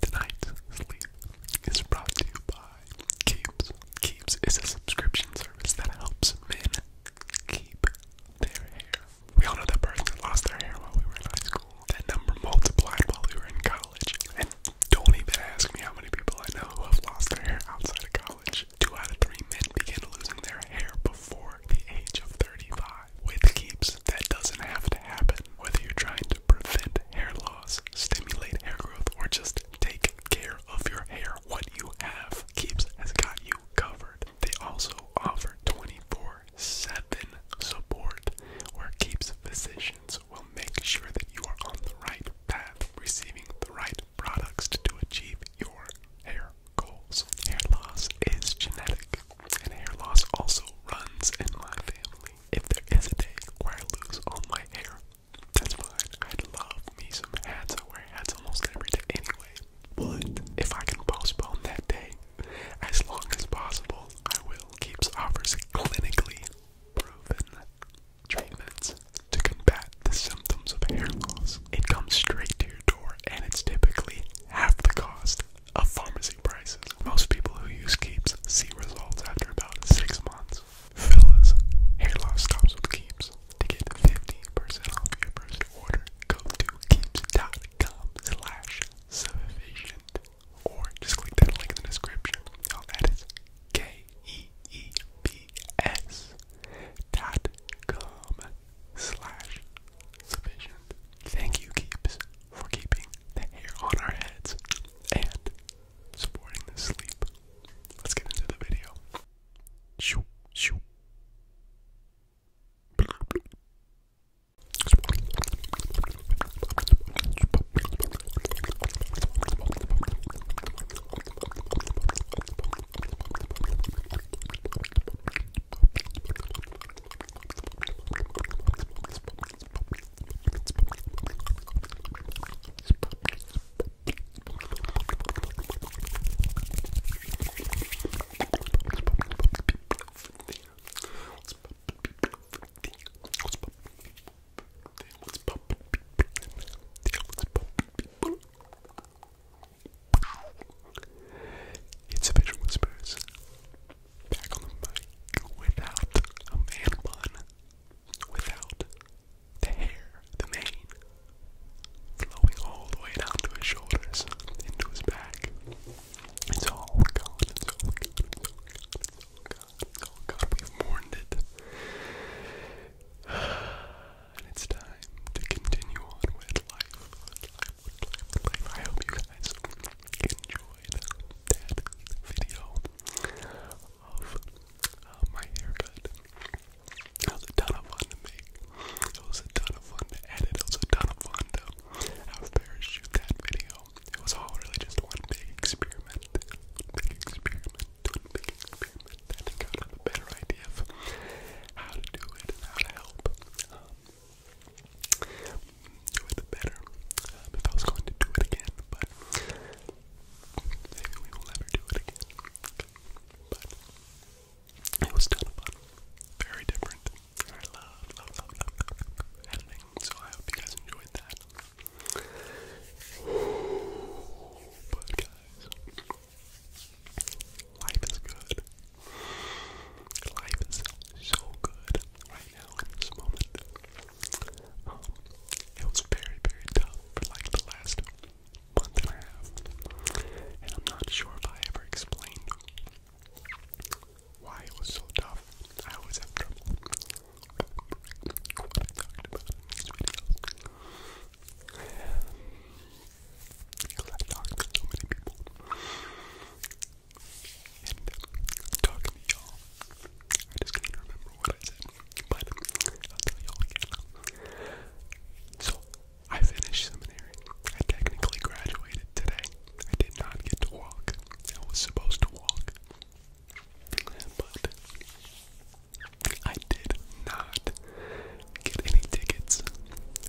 Tonight's sleep is brought to you by Keeps. Keeps is a subscription service that helps men keep their hair. We all know that person that lost their hair while we were in high school. That number multiplied while we were in college. And don't even ask me how many people I know who have lost their hair outside of college. Two out of three men begin losing their hair before the age of 35. With Keeps, that doesn't have to happen. Whether you're trying to to prevent hair loss, stimulate hair growth, or just take care of your hair. What you have keeps has got you covered. They also offer 24 7 support where keeps physicians will make sure that you are on the right path, receiving the right products to achieve your hair goals. Hair loss is genetic, and hair loss also runs in my family. If there is a day where I lose all my hair, that's fine. I'd love me some hats. I wear hats almost every day anyway. But if I can postpone that day as long as possible, I will. Keeps offers clinically proven treatments to combat the symptoms of hair loss. It comes straight to your door and it's typically half the cost of pharmacy prices. Most people who use Keeps see results after about six months. Fellas, hair loss stops with Keeps. To get 15% off your first order, go to keeps.com sufficient. Or just click that link in the description. Oh, that is K-E-E-P-S dot com sufficient. Thank you, Keeps, for keeping the hair on our heads and supporting the sleep. Let's get into the video. Shoo, shoo. It's a Visual Whispers back on the mic without a man bun, without the hair, the mane, flowing all the way down to his shoulders, into his back. It's all gone, it's all gone, it's all gone, it's all gone, it's all gone. We've mourned it. And it's time to continue on with life, with life, with life, with life. I hope you guys enjoyed that video of uh, my haircut. It was a ton of fun to make. It was a ton of fun to edit. It was a ton of fun to have Paris shoot that video. It was all really just one big experiment. experiment. experiment. I I would a better idea of how to do it and how to help. Um, do it better um, if I was going to do it again, but maybe we will never do it again. But it was still very different. I love, love, love, love editing, so I hope you guys enjoyed that. But guys, life is good. Life is so good right right in this moment. Um, it was very, very tough for like the last month and a half, and I'm not sure if I ever explained why it was so tough. I always have trouble and i talking to y'all. I just can't remember what I said, but I'll tell y'all again. So, I finished seminary. I technically graduated today. I did not get to walk. I was supposed to walk. But I did not get any tickets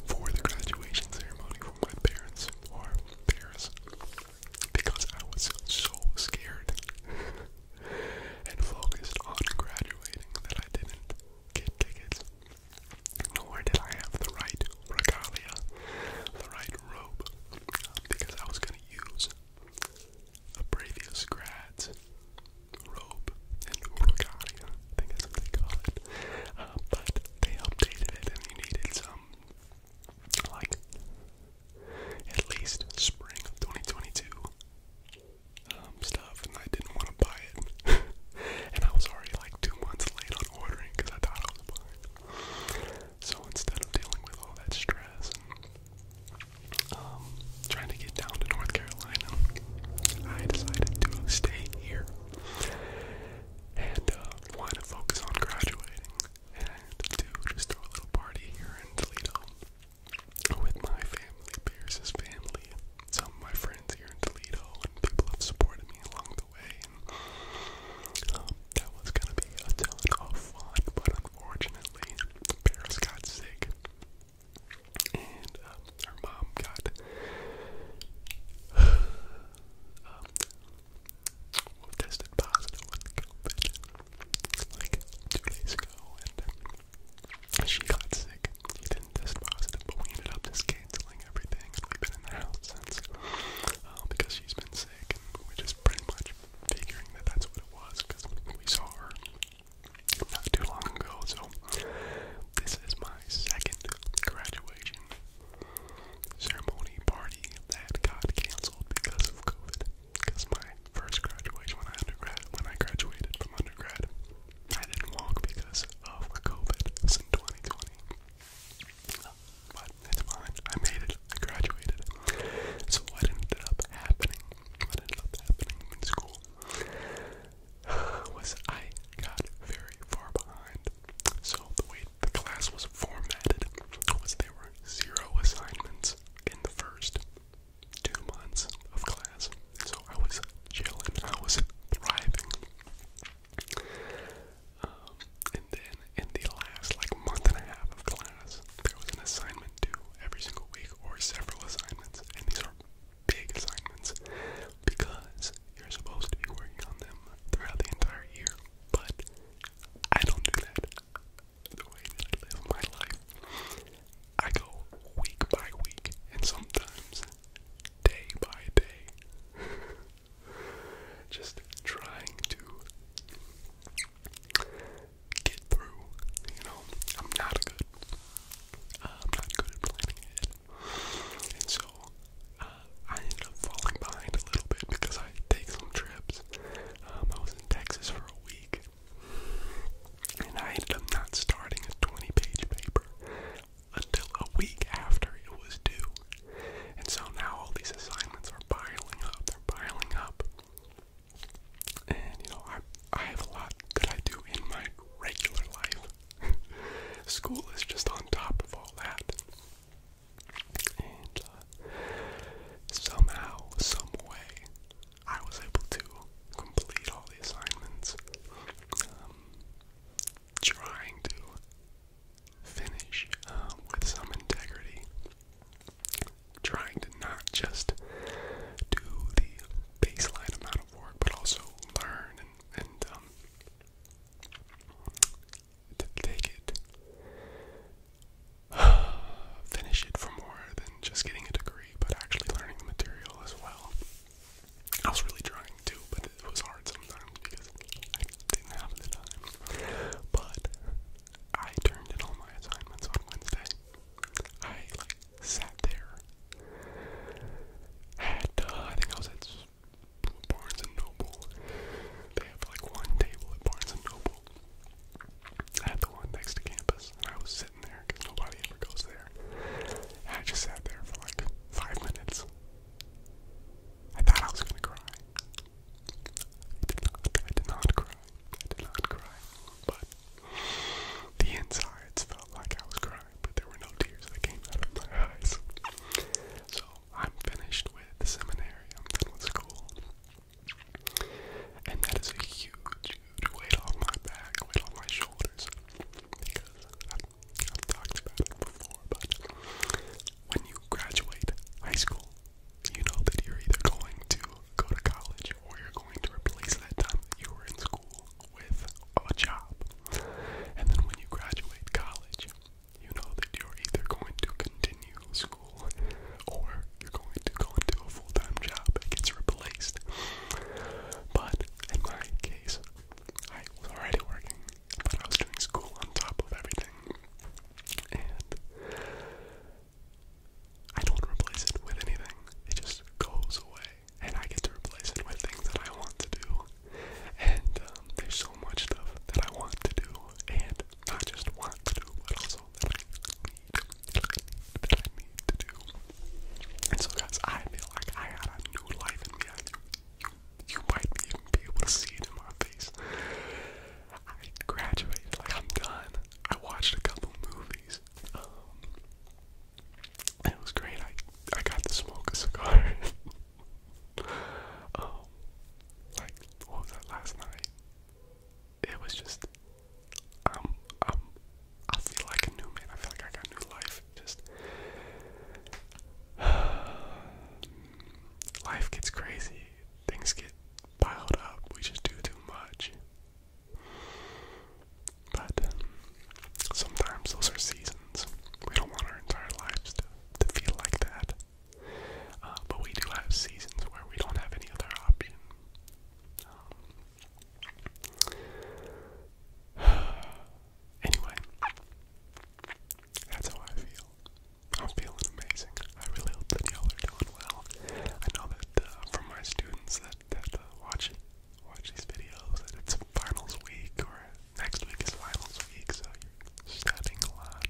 for the graduation ceremony from my parents or Paris because I was so scared and focused on graduating that I didn't get tickets. Nor did I have the right regalia, the right robe, because I was going to use a previous grad's robe and regalia, I think that's what they call it. Uh, but they updated and you needed some like at least spring of 2022 um, stuff, and I didn't want to buy it. and I was already like two months late on ordering because I thought I was buying. So instead of dealing with all that stress and um, trying to get down to North Carolina, I decided to stay here and uh, want to focus on graduating and to just throw a little party here in Toledo with my family, Pierce's family, some of my friends here in Toledo, and people have supported me along the way. Um, that was gonna be a ton of fun, but unfortunately, Paris got sick, and um, her mom got um, who tested positive like two days ago, and she got sick. She didn't test positive, but we ended up just canceling everything, and we've been in the house since uh, because she's been sick, and we're just pretty much figuring that that's what it was because we saw her not too long ago. So this is my second graduation ceremony party that got canceled because of COVID. Because my first graduation when I undergrad when I graduated from undergrad, I didn't walk because of COVID since 2020. But it's fine. I made it. I graduated. So what ended up happening? What ended up happening in school was I got very far behind so the way the class was formatted was there were zero assignments in the first two months of class. So I was chilling, I was thriving. Um, and then in the last like month and a half of class, there was an assignment due every single week or several assignments, and these are big assignments because you're supposed to be working on them throughout the entire year. But I don't do that the way that I live my life. I go week by week and sometimes day by day. Just trying to get through, you know. I'm not good. I'm not good at planning ahead. And so uh, I ended up falling behind a little bit because I take some trips. Um, I was in Texas for a week, and I ended up not starting a 20-page paper until a week after it was due. And so now all these assignments are piling up. They're piling up. And you know, I I have a lot that I do in my regular life. School is just on top of all that. Uh, somehow, some way, I was able to complete all the assignments. Um, trying to finish um, with some integrity. Trying to not just do the baseline amount of work, but also learn and, um, to take it. Finish it for more than just getting a degree, but actually learning the material as well. I was really trying to, but it was hard sometimes because I didn't have the time. But I turned in all my assignments on Wednesday. I like sat there. At, uh, I think I was at Barnes and Noble. They have like one table at Barnes and Noble. I had the one next to campus, and I was sitting there because nobody ever goes there. And I just sat there for like five minutes. I thought I was gonna cry. I did not. I did not cry. I did not cry. But the insides felt like I was crying, but there were no tears that came out of my eyes. So I'm finished with seminary, I'm done with school. And that is a huge, weight off my back, weight off my shoulders. Because I've talked about it before, but when you graduate high school, you know that you're either going to go to college or you're going to replace that time that you were in school with a job. And then when you graduate college, you know that you're either going to continue school or you're going to go into a full time job that gets replaced. But in my case, I was already working, but I was doing school on top of everything. And I don't replace it with anything, it just goes away. And I get to replace it with things that I want to do and um, there's so much stuff that I want to do, and not just want to do, but also that I need, that I need, to do. And so, guys, I feel like I got a new life in me. I, you, might be even be able to see it in my face. I graduated, like I'm done. I watched a couple movies. Um, it was great. I I got to smoke a cigar. Um, like what was that last night? It was just um um I feel like a new man. I feel like I got new life. Just life gets crazy. Things get piled up. We just do too much. But um, sometimes those are seasons. We don't want our entire lives to to feel like that. Uh, but we do have seasons where we don't have any other option. Um, anyway, that's how I feel. I'm feeling amazing. I really hope that y'all are doing well. I know that uh, from my students that that uh, watch watch these videos that it's finals week or next week is finals week, so you're studying a lot.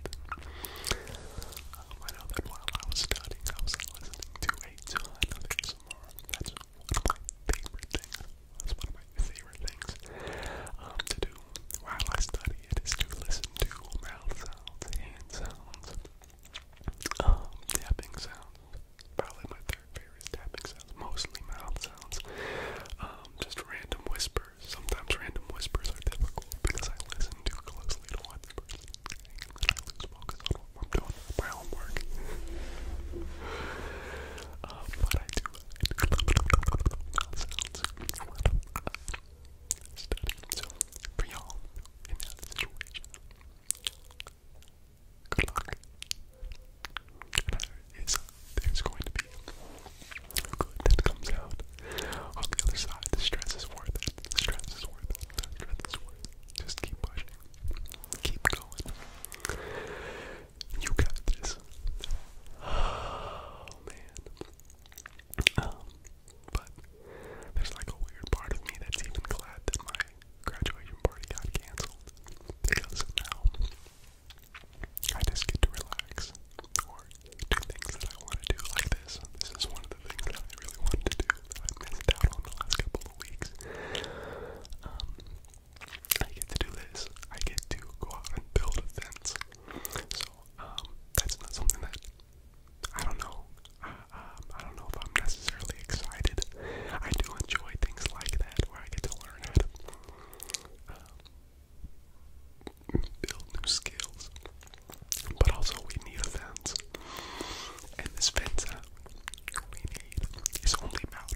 Um, I know that while I was studying, I was listening to a ton of ASMR. That's one favorite things. That's one of my favorite things um, to do while I study. It is to listen to mouth sounds, hand sounds, um, tapping sounds. Probably my third favorite is tapping sounds, mostly mouth sounds. just random whisper Sometimes random whispers are difficult because I listen too closely to what the person is saying I lose focus on what I'm doing, my homework. uh, I do, I do So, for y'all in that situation, good luck. And there is there's going to be good that comes out on the other side. The stress is worth it. The stress is worth it. The stress is worth it. Just keep pushing. Keep going. You got this. Oh, man. Um, but there's like a weird part of me that's even glad that my graduation party got canceled because now I just get to relax or do things that I want to do like this. This is one of the things that I really wanted to do that I missed out on the last couple of weeks. Um, I get to do this. I get to go out and build a fence. So um, that's not something that I don't know. Uh, um, I don't know if I'm necessarily excited. I do enjoy things like that where I get to learn how to um, build new skills. But also we need a fence. And this fence we need is only about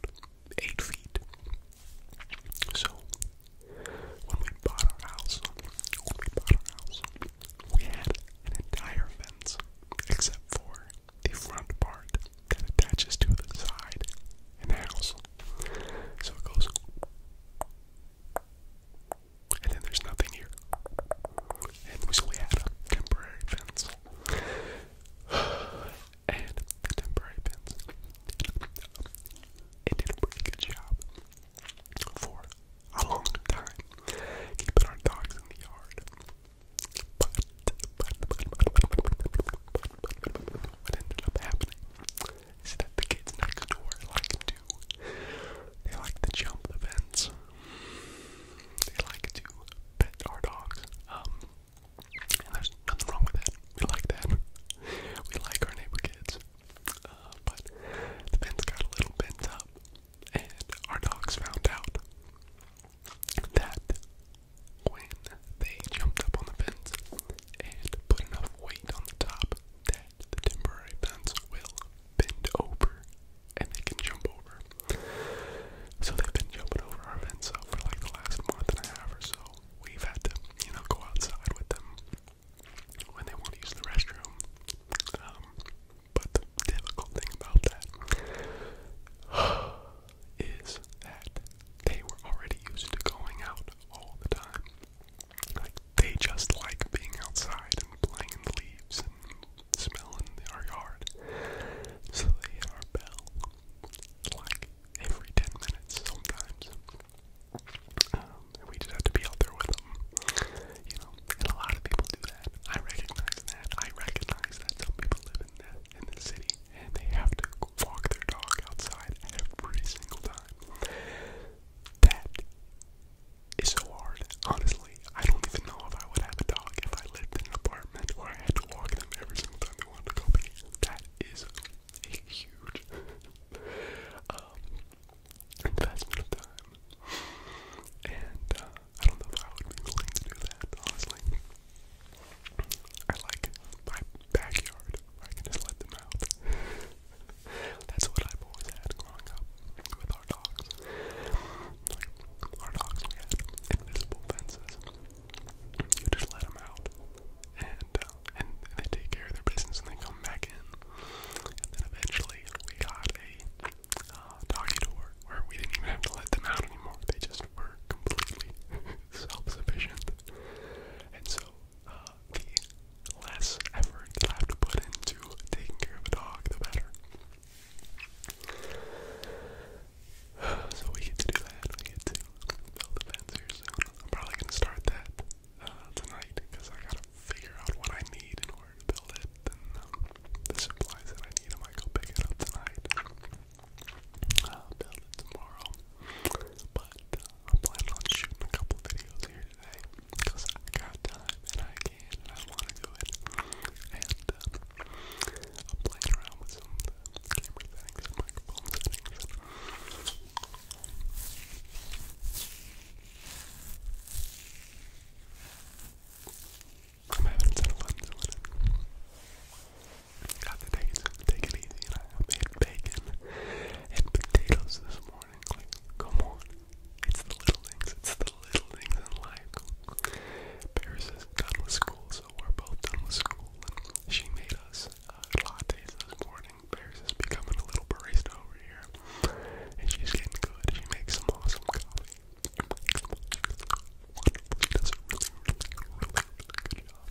eight feet. So when we bought our house, when we bought our house, we had an entire fence except for the front part that attaches to the side in the house. So it goes. And then there's nothing here. And so we had a temporary fence. And the temporary fence. It did a pretty job for a long time keeping our dogs in the yard. but, what ended up happening is that the kids next door like to they like to jump the fence. They like to pet our dogs. Um, and there's nothing wrong with that. We like that. We like our neighbor kids. Uh, but the fence got a little bent up and our dogs found out that when they jumped up on the fence and put enough weight on the top that the temporary fence will bend over and they can jump over. So they've been jumping over our fence uh, for like the last month and a half or so. We've had to, you know, go outside with them when they want to use the restroom. Um, but difficult thing about that is that they were already used to going out all the time. Like they just like being outside and playing in the leaves and smelling our yard. So they hit our bell like every ten minutes sometimes. Um, and we just have to be out there with them. You know, and a lot of people do that. I recognize that. I recognize that some people live in that in the city, and they have to walk their dog outside every single time. That is so hard. Honestly, I don't even know if I would have a dog if I lived in an apartment where I had to walk them every single time they wanted to go pee. That is a huge um, investment of time. And uh, I don't know if I would be willing to do that, honestly. I like my backyard where I can just let them out. That's what I've always had growing up with our dogs. Like, our dogs, we had invisible fences. You just let them out, and, uh, and they take care of their business, and they come back in. And then eventually, we got a uh, doggy door where we didn't even have to let them out anymore. They just almost were completely self-sufficient. And so, uh, the less effort that I have to put into taking care of a dog, the better. So we get to do that. We get to build a fence here soon. I'm probably gonna start that uh, tonight because I gotta figure out what I need in order to build it and um, the supplies that I need. I might go pick it up tonight. I'll build it tomorrow. But uh, I'm planning on shooting a couple videos here today because I got time and I can and I want to do it. And uh, I'm playing around with some uh, of the camera and microphone Got to take it, take it easy. And I made bacon and potatoes this morning. Like, come on. It's the little things. It's the little things in life. Paris is done with school, so we're both done with school. And she made us uh, lattes this morning. Paris is becoming a little barista over here. And she's getting good. She makes some awesome coffee. She does a really, really, really, really good job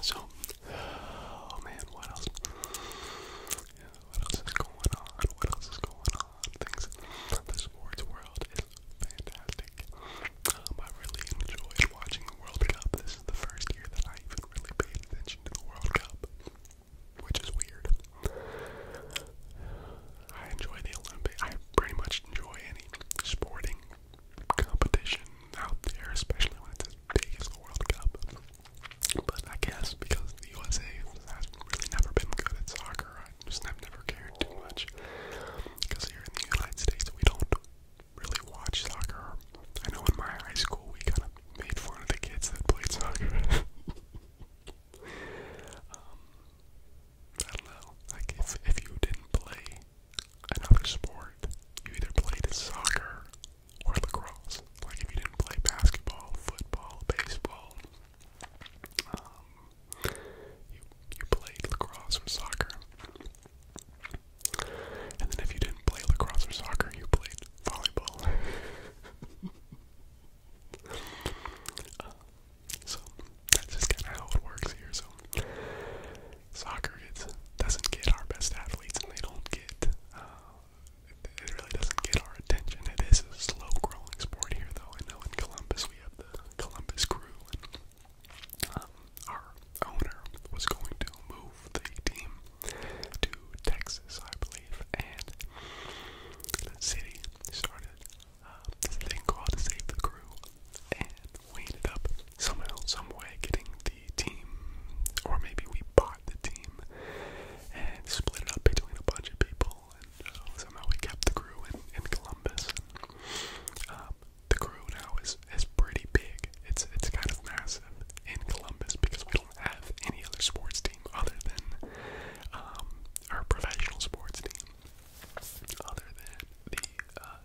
so, oh man, what else? what else is going on? What else is going on? Things. The sports world is fantastic. Um, I really enjoyed watching the World Cup. This is the first year that I even really paid attention to the World Cup which is weird. I enjoy the Olympics. I pretty much enjoy any sporting competition out there, especially when it's as big as the World Cup. But I guess because the USA has really never been good at soccer, I just have never cared too much. Because here in the United States, we don't really watch soccer. I know in my high school, we kind of made fun of the kids that played soccer. Um, I don't know. Like if if you didn't play another sport, you either played soccer or lacrosse. Like if you didn't play basketball, football, baseball, um, you you played lacrosse or soccer. And then if you didn't play lacrosse or soccer, you played volleyball. uh, so that's just kind of how it works here. So soccer gets, doesn't get our best athletes, and they don't get. Uh, it really doesn't get our attention. It is a slow-growing sport here, though. I know in Columbus we have the Columbus Crew, and um, our owner was going to move the team to Texas, I believe and the city started um, this thing called Save the Crew and we ended up somehow, some way getting the team or maybe we bought the team and split it up between a bunch of people and uh, somehow we kept the crew in, in Columbus. Um, the crew now is, is pretty big. It's it's kind of massive in Columbus because we don't have any other sports team team other than um, our professional sports team, other than the uh,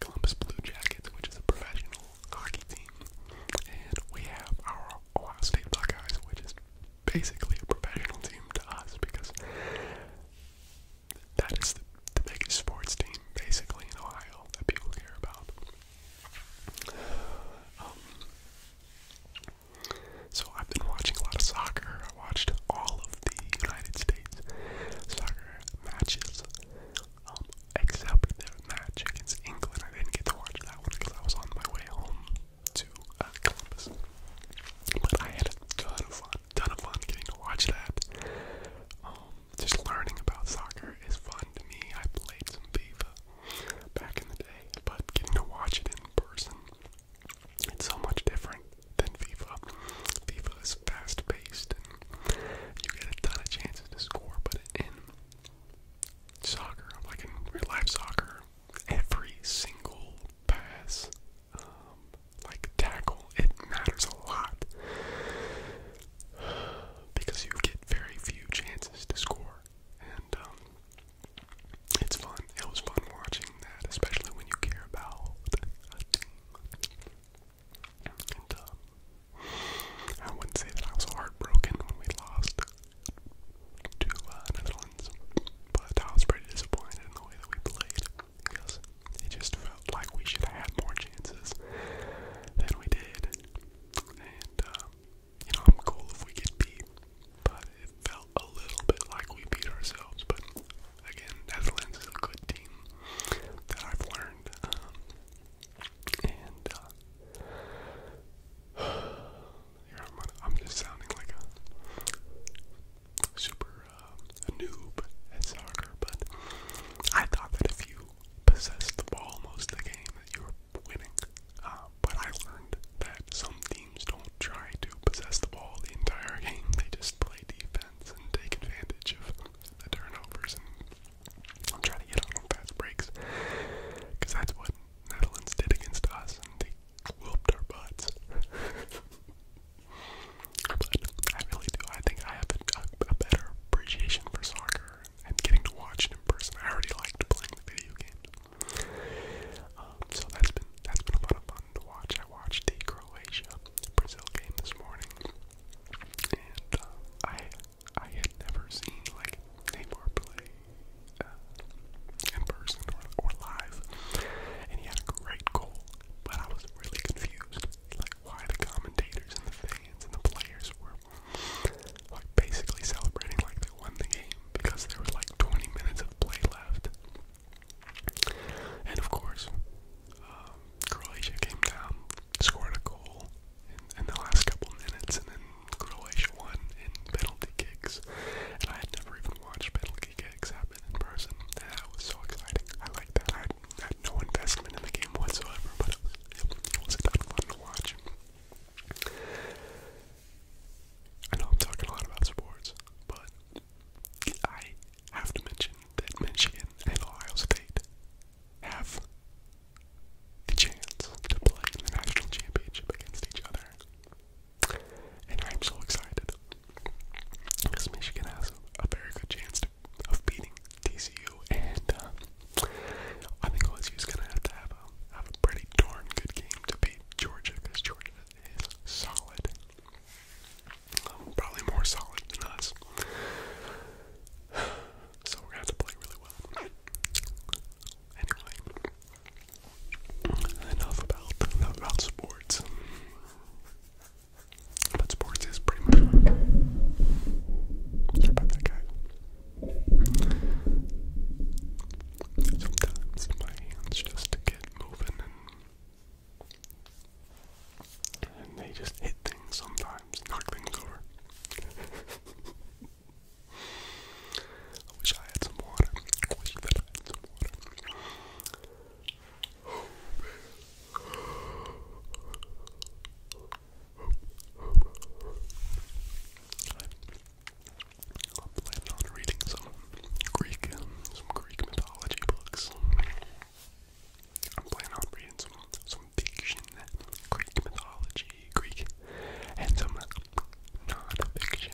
Columbus Blue Jackets, which is a professional hockey team, and we have our Ohio State Buckeyes, which is basically a professional team to us because that is the, the biggest sports team basically in Ohio that people care about. Um, so I've been watching a lot of soccer. I watched all of the United States soccer matches, um, except for their match against England. I didn't get to watch that one because I was on my way home to uh, Columbus. But I had a ton of fun, ton of fun getting to watch that. Um, just learning about soccer is fun to me. I played some FIFA back in the day, but getting to watch it in person, it's so much different than FIFA. FIFA is fast paced and you get a ton of chances to score, but in soccer, like in real life soccer, every single pass, um, like tackle, it matters a lot because you get very few chances to score. And um, it's fun. It was fun watching that, especially when you care about um, I wouldn't say that I was heartbroken when we lost to uh, Netherlands, but I was pretty disappointed in the way that we played because it just felt like we should have had more chances than we did. And um, you know, I'm cool if we get beat, but it felt a little bit like we beat ourselves. But again, Netherlands is a good team that I've learned. Um, and uh, here I'm, I'm just sounding like a super uh, noob at soccer, but I thought that if you possessed the ball most of the game, that you were winning. Uh, but I learned that some teams don't try to possess the ball the entire game. They just play defense and take advantage of the turnovers and try to get on them fast breaks. Because that's what Netherlands did against us, and they whipped our butts. but I really do. I think I have a better appreciation for soccer I'm getting to watch it in person. I already liked playing the video games. Um, so that's been that's been a lot of fun to watch. I watched the Croatia Brazil game this morning, and uh, I I had never seen like Neymar play uh, in person or or live, and he had a great goal. But I was really confused, like why the commentators and the fans and the players were like basically celebrating like they won the game because there was like 20 minutes of play left. And of course, um, Croatia came down, scored a goal in, in the last couple minutes, and then Croatia won in penalty kicks. And I had never even watched penalty kicks happen in person. And that was so exciting. I liked that. I had, I had no investment in the game whatsoever, but it was, it, it was a ton of fun to watch. I know I'm talking a lot about sports, but I have to mention that Michigan and Ohio State have the chance to play in the national championship against each other. And I'm so excited because Michigan has a very good chance of beating TCU and uh, I think OSU's gonna have to have a have a pretty darn good game to beat Georgia because Georgia is solid, um, probably more solid than us. So we're gonna have to play really well. Anyway, enough about enough about sports. But sports is pretty much. Sorry about that, guys. Sometimes my hands just get moving and, they just hit things sometimes, knock things over. I wish I had some water. I wish I had some water. I'll plan on reading some Greek, some Greek mythology books. I'm planning on reading some some fiction, Greek mythology, Greek, and some non-fiction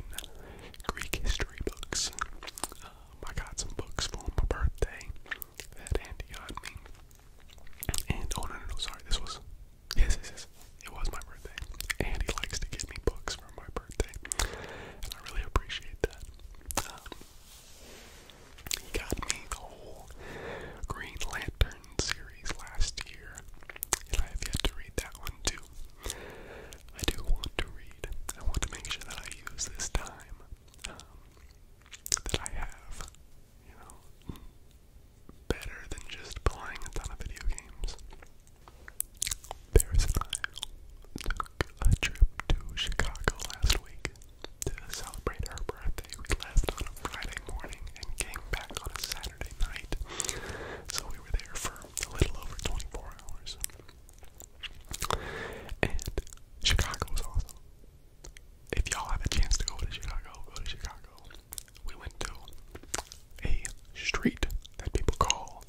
Greek history books. Um, I got some books for my birthday that Andy got me. And oh no no no sorry, this was Yes, It was my birthday. And he likes to give me books for my birthday. And I really appreciate that. Um, he got me the whole Green Lantern series last year. And I have yet to read that one too. I do want to read. I want to make sure that I use this time um, that I have, you know, better than just playing a ton of video games. Paris and I took a trip to Chicago last week to celebrate her birthday. We left on a Friday morning and came back on a Saturday night. So we were there for a little over 24 hours. And Chicago was awesome. If y'all have a chance to go to Chicago, go to Chicago we went to a street that people call,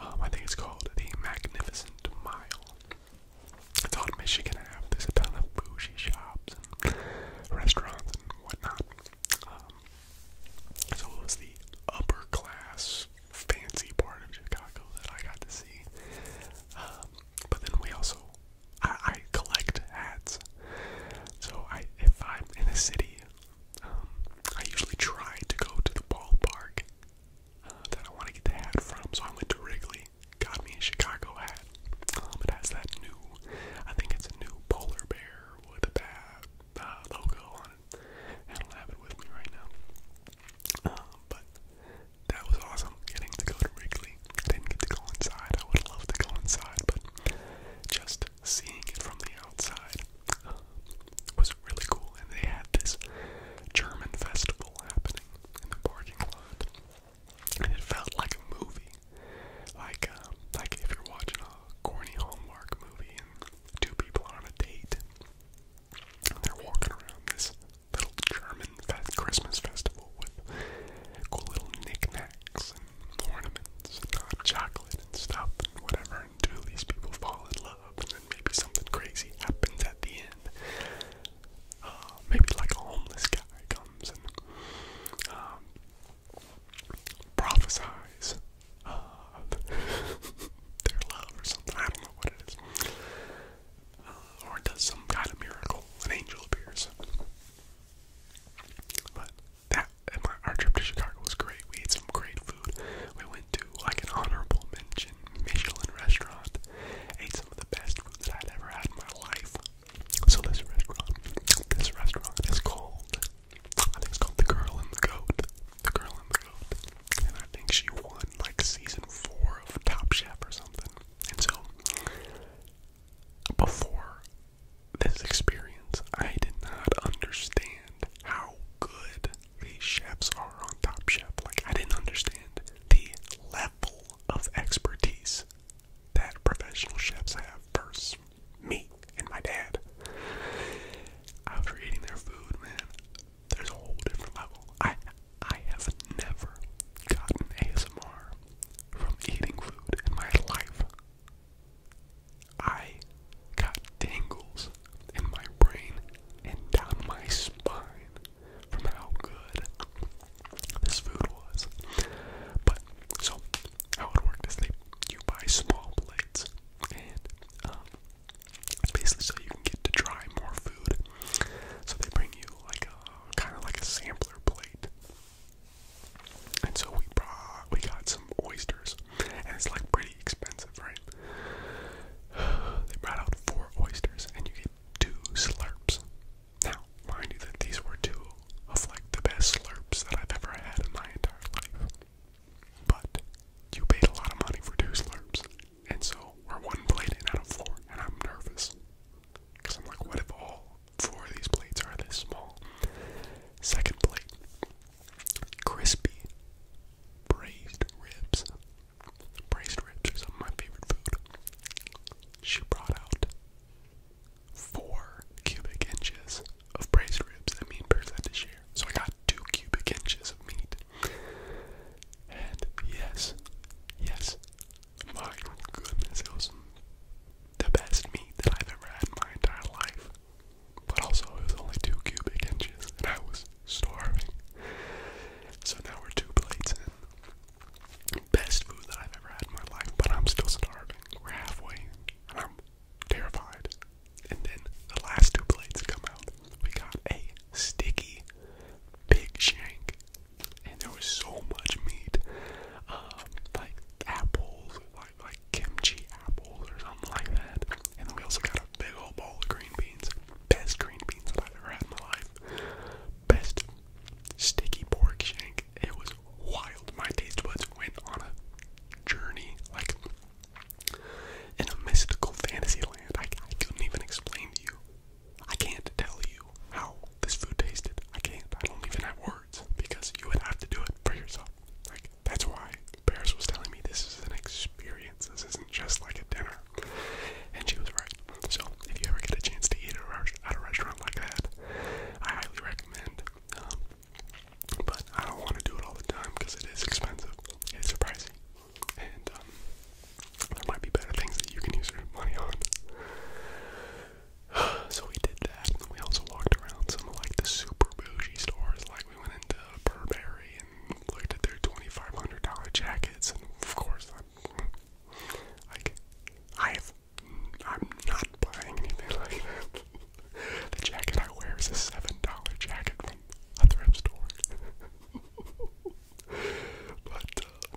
um, I think it's called the Magnificent Mile. It's on Michigan Ave. There's a ton of bougie shops and restaurants and whatnot. It's um, so the upper class, fancy part of Chicago that I got to see. Um, but then we also I, collect hats. So I, if I'm in a city, um, I usually try to go to the ballpark uh, that I want to get the hat from. So I went to Wrigley, got me a Chicago hat. Um, it has that new, I think it's a new polar bear with a bat uh, logo on it. I don't have it with me right now. Um, but that was awesome getting to go to Wrigley. I didn't get to go inside. I would love to go inside, but just seeing it from the outside uh, was really cool. And they had this German festival happening in the parking lot, and it felt like a movie, like uh, like if you're watching a corny Hallmark movie and two people are on a date, and they're walking around this little German fe Christmas festival with cool little knickknacks ornaments and chocolate and stuff and whatever And do these people fall in love and then maybe something crazy happens at the end. Uh, maybe like a homeless guy comes and um, prophesies their love or something. I don't know what it is. Uh, or does some kind of miracle. An angel appears. But that our trip to Chicago was great. We ate some great food. We went to like an honorable mention Michelin restaurant. Ate some of the best food that i have ever had in my life. So this restaurant, this restaurant is called, I think it's called The Girl and the Goat. The Girl and the Goat. And I think she won like season four of Top Chef or something. And so before this experience, I did not understand how good these chefs are on Top Chef. Like, I didn't understand the level of expertise that professional chefs have versus me and my dad. After eating their food, man, there's a whole different level. I I have never gotten ASMR from eating food in my life. I got tingles in my brain and down my spine from how good this food was. But so how it worked is they you buy small plates and um, basically so you can get to try more food. So they bring you like a kind of like a sampler plate and so we brought, we got some oysters, and it's like pretty expensive, right? They brought out four oysters, and you get two slurps. Now, mind you, that these were two of like the best slurps that I've ever had in my entire life. But you paid a lot of money for two slurps, and so we're one plate and out of four, and I'm nervous. Because I'm like, what if all four of these plates are this small? Second plate crispy braised ribs. Braised ribs are some of my favorite food. She brought out four cubic inches of braised ribs that mean, and Pierce had to share. So I got two cubic inches of meat. And yes, yes, my goodness, it was the best meat that I've ever had in my entire life. But also, it was only two cubic inches, and I was starving. So now we're two plates in. Best food that I've ever had in my life, but I'm still starving. We're halfway, and I'm terrified. And then the last two plates come out. We got a sticky pig shank and there was so much meat, um, like apples, like like kimchi apples or something like that. And we also got a big old bowl of green beans, best green beans that I've ever had in my life, best sticky pork shank. It was wild. My taste buds went on a journey, like in a mystical fantasy land. I, I couldn't even explain to you. I can't tell you how this food tasted. I can't. I don't even have words words because you would have to do it for yourself. Like that's why Paris was telling me this is an experience. This isn't just like a dinner, and she was right. So if you ever get a chance to eat at a restaurant like that, I highly recommend. Um, but I don't want to do it all the time because it is expensive. It's pricey, and um, there might be better things that you can use your money on. So we did that. And we also walked around some like the super bougie stores. Like we went into Burberry and looked at their $2,500 jackets. And of course, I'm like, I've, I'm not buying anything like that. the jacket I wear is a $7 jacket from a thrift store. but uh,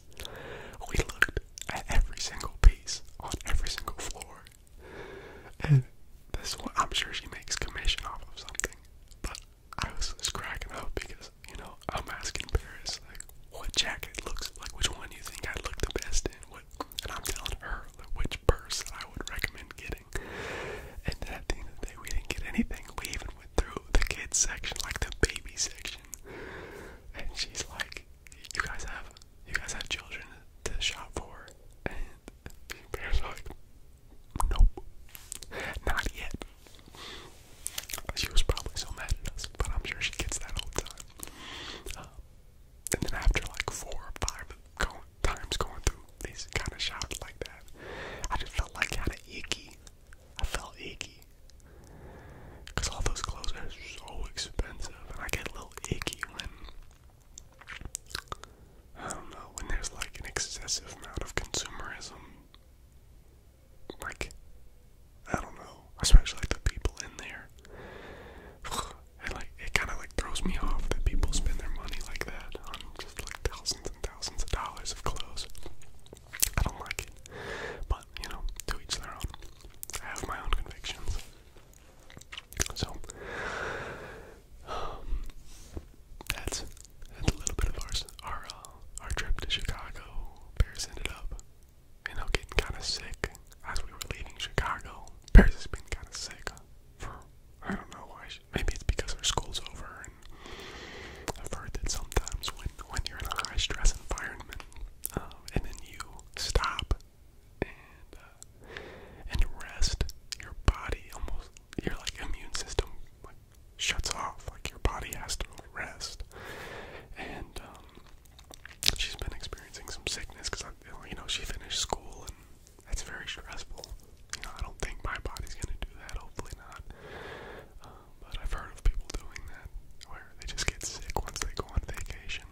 we looked at every single piece on every single floor. And this I'm sure she makes commission off of something. But I was just cracking up because, you know, I'm asking Paris, like, what jacket looks like, which one do you think I'd look the best in? and I'm telling her which purse I would recommend getting. And at the end of the day, we didn't get anything. We even went through the kids section, like the baby section. And she's like, you guys have you guys have children to shout for and parents are like Nope. Not yet. She was probably so mad at us, but I'm sure she gets that all the time. Um, and then after like four or five times going through these kind of shots like that, I just felt like kind of icky. I felt icky. Because all those clothes are so expensive, and I get a little icky when. I don't know, when there's like an excessive amount of consumerism. Like, I don't know, especially like the people in there. And like, it kind of like throws me off that people spend their money like that on just like thousands and thousands of dollars of clothes. I don't like it. But you know, to each their own. I have my own convictions. So, um, that's, that's a little bit of ours. Our, uh, our trip to Chicago, Paris ended up, you know, getting kind of sick as we were leaving Chicago. Paris has been kind of sick for, I don't know why, maybe it's because her school's over and I've heard that sometimes when, when you're in a high stress environment, um, and then you stop and uh, and rest. Your body almost your like immune system like shuts off. Like your body has to rest. And um, she's been experiencing some sickness because you know she finished school and that's very stressful. You know I don't think my body's gonna do that. Hopefully not. Um, but I've heard of people doing that where they just get sick once they go on vacation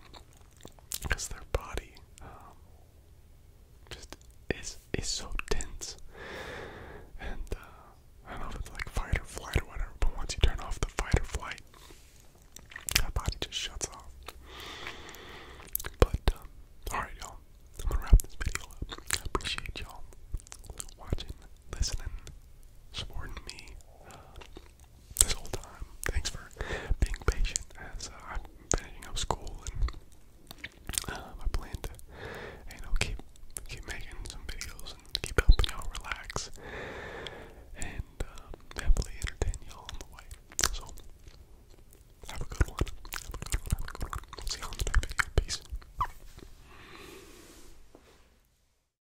because their body um, just is is so tense. And uh, I don't know if it's like fight or flight or whatever, but once you turn off the fight or flight, that body just shuts off. But alright um, you all right, y'all, I'm gonna wrap this video up. I appreciate y'all watching listening, supporting me uh, this whole time. Thanks for being patient as uh, I'm finishing up school and uh, I plan to, you know, keep keep making some videos and keep helping y'all relax and happily entertain you on the way. So have a good one. Have a good one. Have a good one. See y'all the next video. Peace.